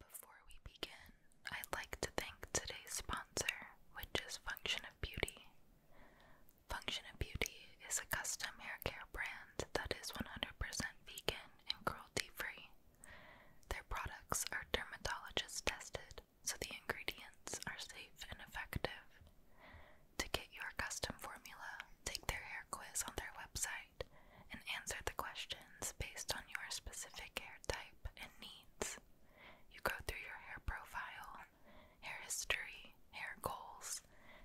Before we begin, I'd like to thank today's sponsor, which is Function of Beauty. Function of Beauty is a custom hair care brand that is 100% vegan and cruelty free. Their products are dermatologist tested, so the ingredients are safe and effective. To get your custom formula, take their hair quiz on their website and answer the questions based on your specific hair type and needs. You go through your hair profile, hair history, hair goals,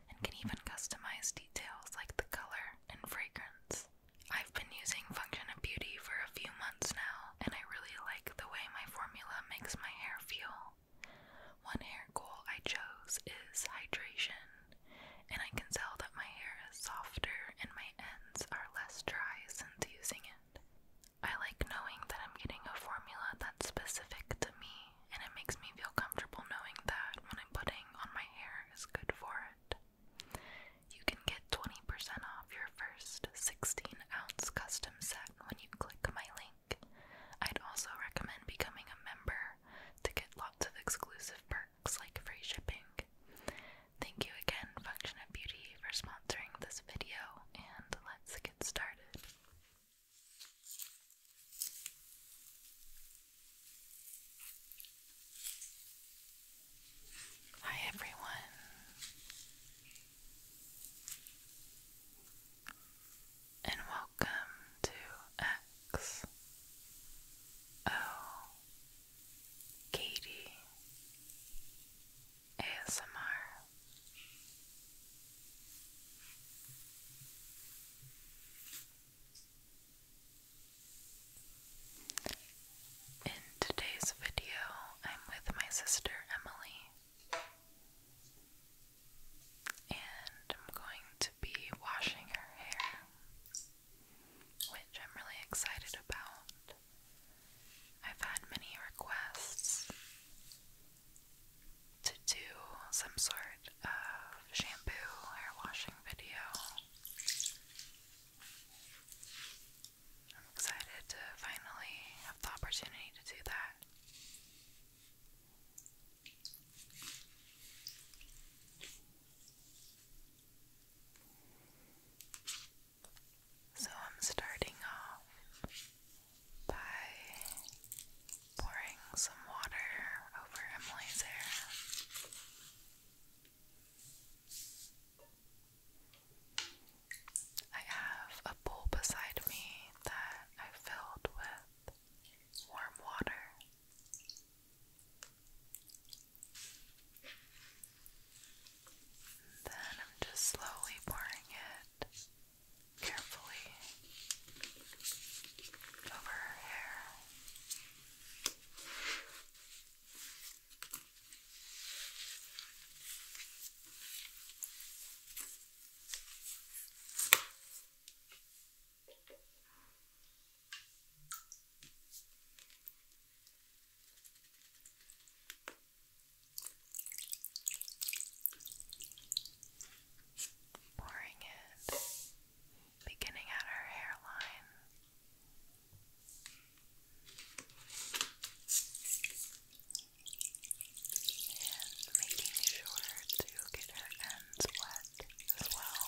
and can even customize details like the color and fragrance. I've been using Function of Beauty for a few months now, and I really like the way my formula makes my hair feel. One hair goal I chose is hydration, and I can tell that my hair is softer and my ends are less dry since using it. I like knowing that I'm getting a formula that's specific to me, and it makes me feel comfortable knowing that what I'm putting on my hair is good for it. You can get 20% off your first 16 ounce custom set when you click my link. I'd also recommend becoming a member to get lots of exclusive perks perks like free shipping. Thank you again, Function of Beauty, for sponsoring this video, and let's get started. Hi everyone. And welcome to X O Katie ASMR. In today's video, I'm with my sister Emily, and I'm going to be washing her hair which I'm really excited about. I've had many requests to do some sort of shampoo hair washing video. I'm excited to finally have the opportunity to do that. So I'm starting off by pouring some water over Emily's hair. I have a bowl beside me that I filled with warm water. And then I'm just slowly pouring it carefully over her hair. Pouring it, beginning at her hairline. And making sure to get her ends wet as well.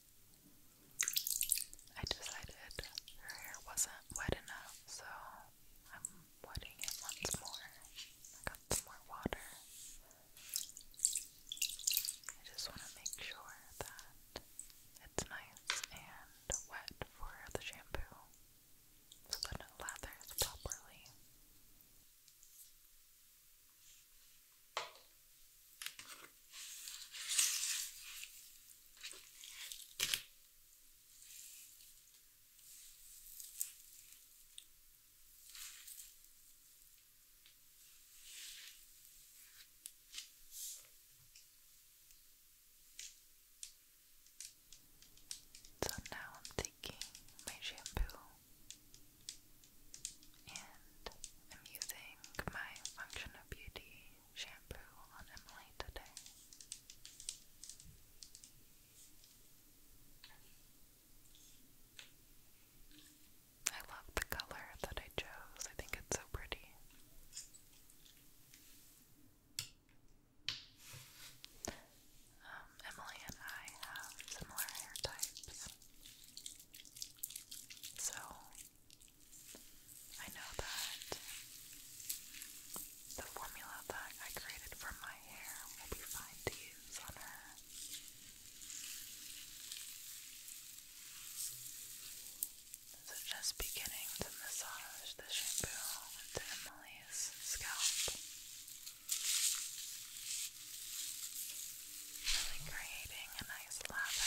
I decided her hair wasn't wet enough, so I'm wetting it once more. I got some more water. I just want to make sure that it's nice and wet for the shampoo so that it lathers properly. So now I'm taking my shampoo and I'm using my Function Beauty shampoo on Emily today. I love the color that I chose. I think it's so pretty. Um, Emily and I have similar hair types. So I know that the formula that I created for my hair will be fine to on her. So just beginning to massage the shampoo into Emily's scalp really creating a nice lather.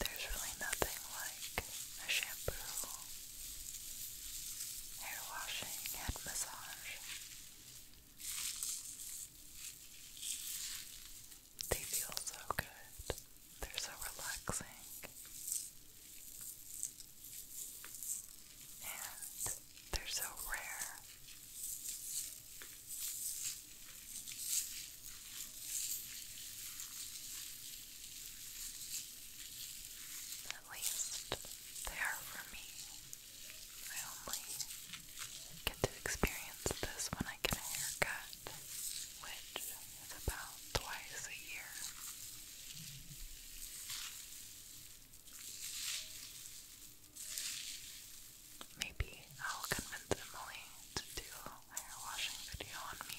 There's really nothing like a shampoo, hair washing, head massage. They feel so good. They're so relaxing. And they're so rare. At least they are for me. I only get to experience this when I get a haircut, which it's about twice a year. Maybe I'll convince Emily to do a hair washing video on me.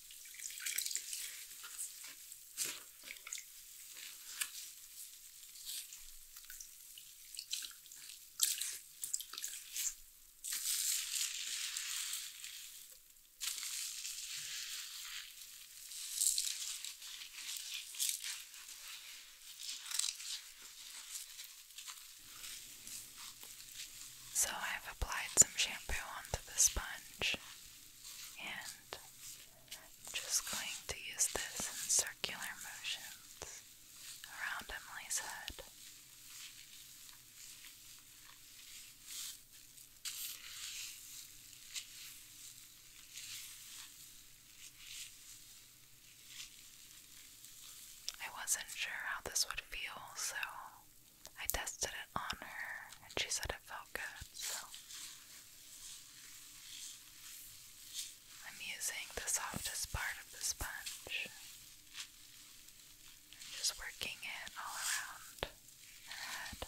So, I've applied some shampoo onto the sponge and I'm just going to use this in circular motions around Emily's head. I wasn't sure how this would feel, so I tested it on her and she said it felt good, so I'm using the softest part of the sponge. just working it all around her head.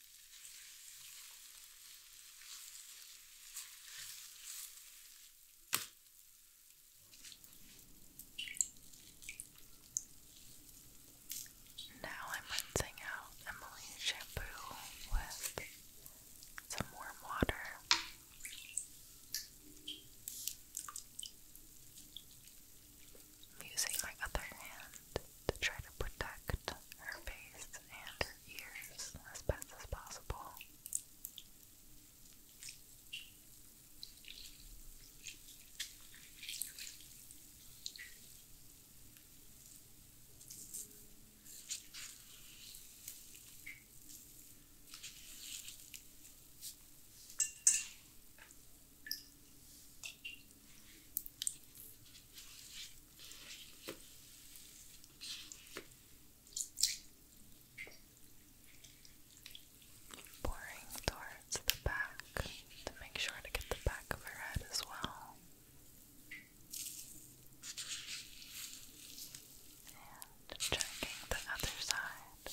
Now I'm rinsing out Emily's shampoo with some warm water. using my other hand to try to protect her face and her ears as best as possible. Pouring towards the back to make sure to get the back of her head as well. And checking the other side.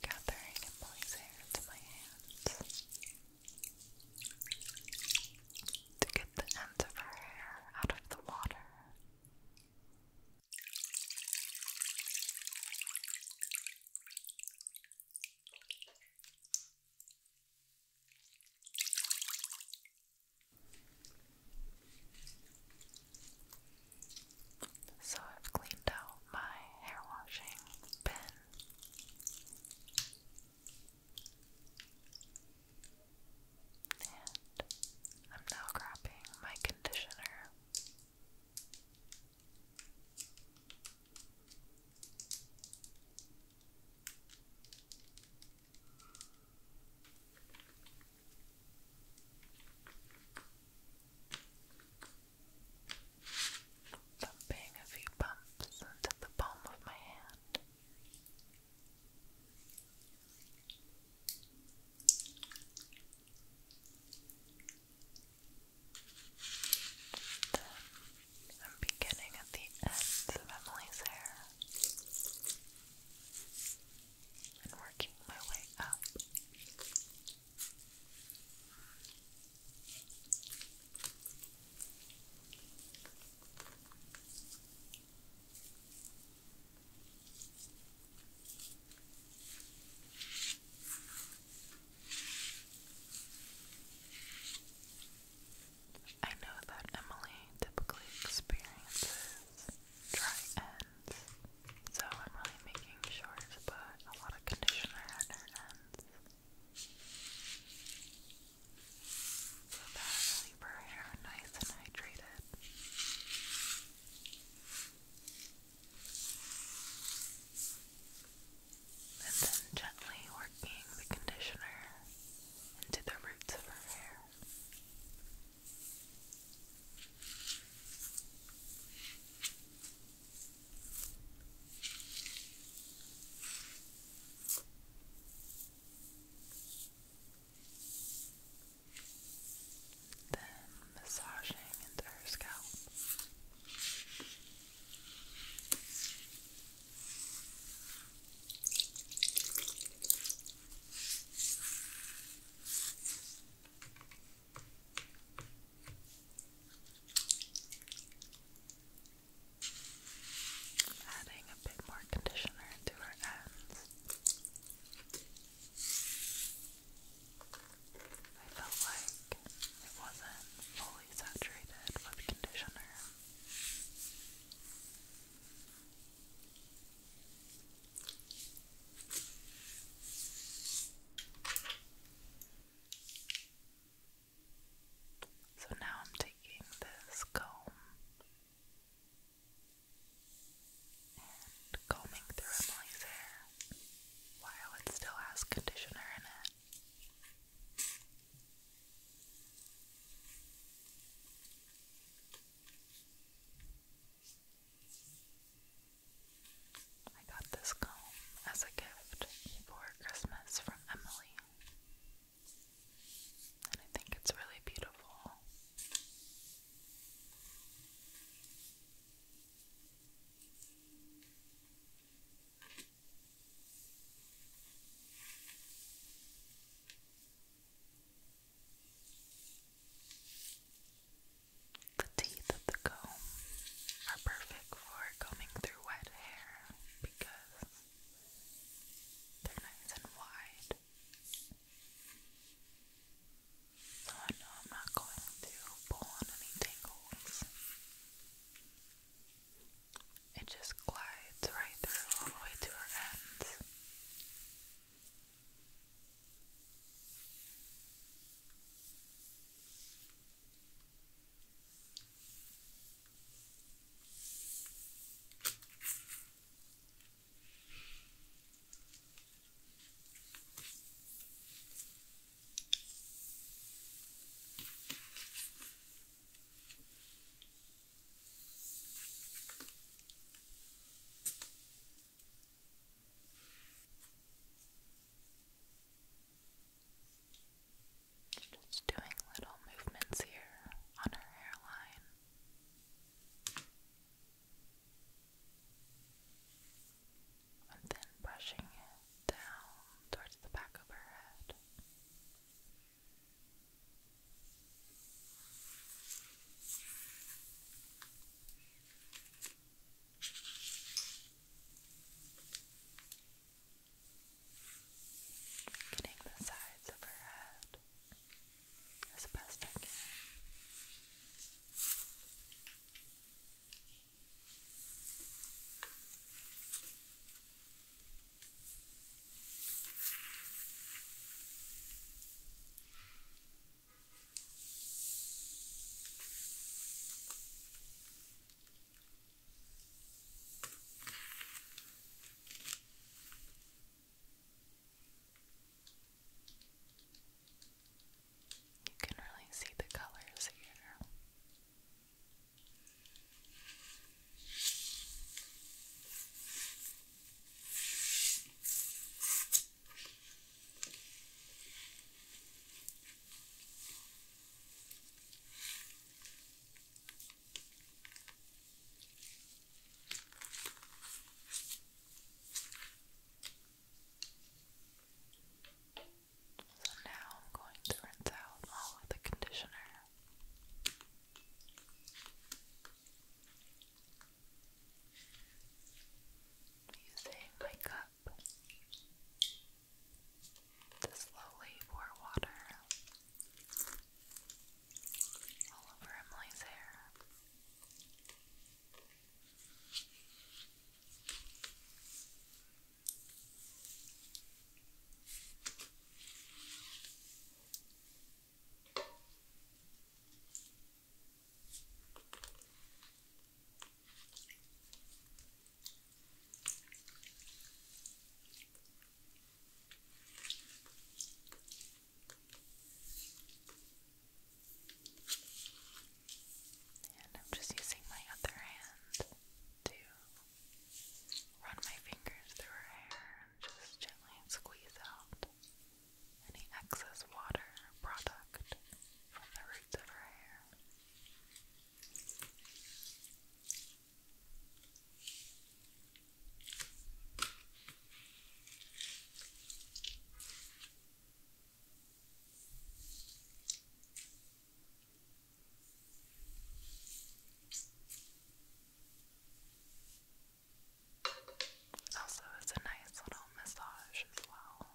Gathering Emily's hair into my hands to get the ends of her hair out of the water. So I've cleaned out my hair washing bin. And I'm now grabbing my conditioner. Pumping a few bumps into the palm of my hand. Then I'm beginning at the ends of Emily's hair and working my way up. I know that Emily typically experiences dry ends, so I'm really making sure to put a lot of conditioner at her ends so that her hair nice and hydrated. And then gently working the conditioner into the roots of her hair. Then massaging into her scalp. Adding a bit more conditioner to our ends. I felt like it wasn't fully saturated with conditioner. So now I'm taking this comb and combing through Emily's hair while it still has conditioner in it. I got this comb as a gift for Christmas from Emily. And I think it's really beautiful. The teeth of the comb are perfect for combing through wet hair because they're nice and wide. So I know I'm not going to pull any tangles. It just glides right through all the way to her ends. Just doing little movements here on her hairline. And then brushing it down towards the back of her head. Getting the sides of her head as best I can. You can really see the colors here. So now I'm going to rinse out all of the conditioner Using my cup to slowly pour water all over Emily's hair. And I'm just using my other hand to run my fingers through her hair just gently squeeze out any excess water product from the roots of her hair. Also, it's a nice little massage as well.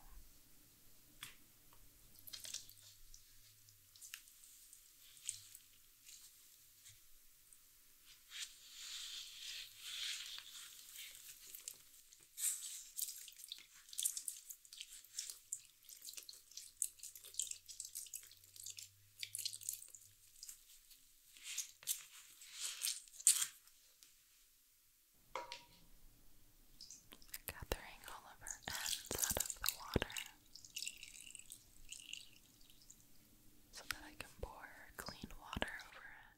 Gathering all of her ends out of the water so that I can pour clean water over it.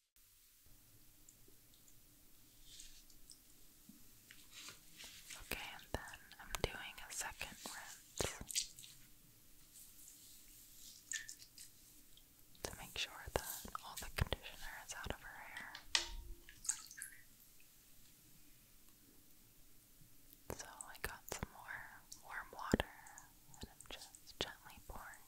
Okay, and then I'm doing a second rinse to make sure that all the conditioner is out of her hair. So I got some more warm water and I'm just gently pouring.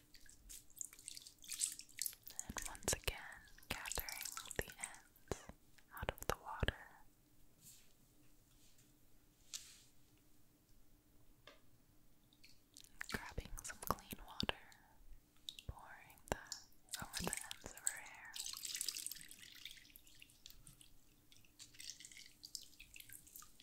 And once again, gathering the ends out of the water. Grabbing some clean water, pouring that over the ends of her hair.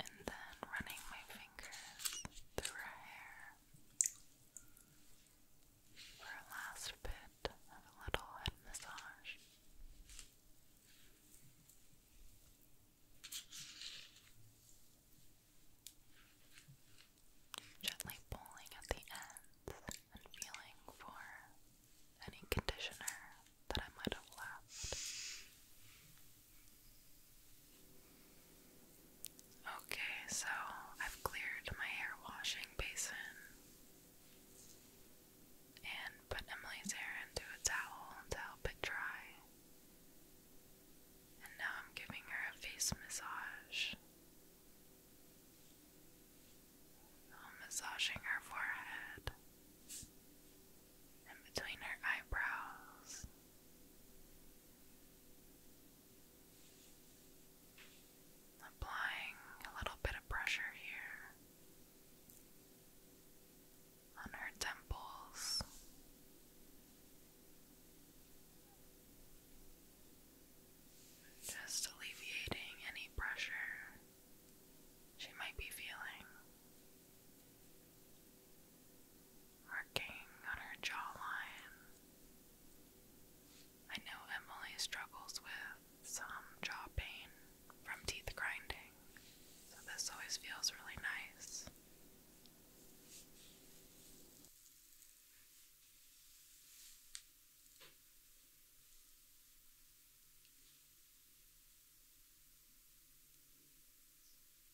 and then running my fingers through her hair for a last bit of a little head massage. Gently pulling at the ends and feeling for any conditioner that I might have left. Okay, so I've cleared my hair washing basin and put Emily's hair into a towel to help it dry. And now I'm giving her a face massage. I'm massaging her forehead and between her eyebrows. Applying a little bit of pressure here on her temples. Just alleviating any pressure she might be feeling. Working on her jawline. I know Emily struggles with some jaw pain from teeth grinding, so this always feels really nice.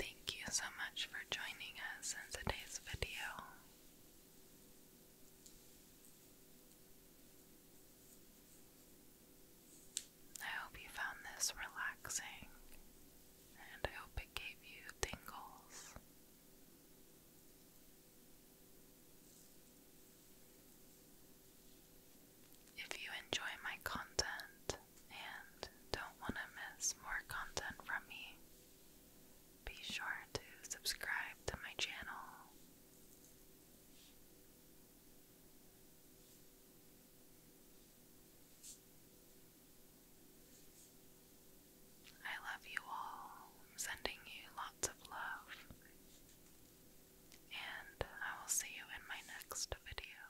Thank you so much for joining us in today's video. I hope you found this relaxing, and I hope it gave you tingles. If you enjoy my content and don't want to miss more content from me, be sure to subscribe to my channel. I love you all. sending you lots of love. And I will see you in my next video.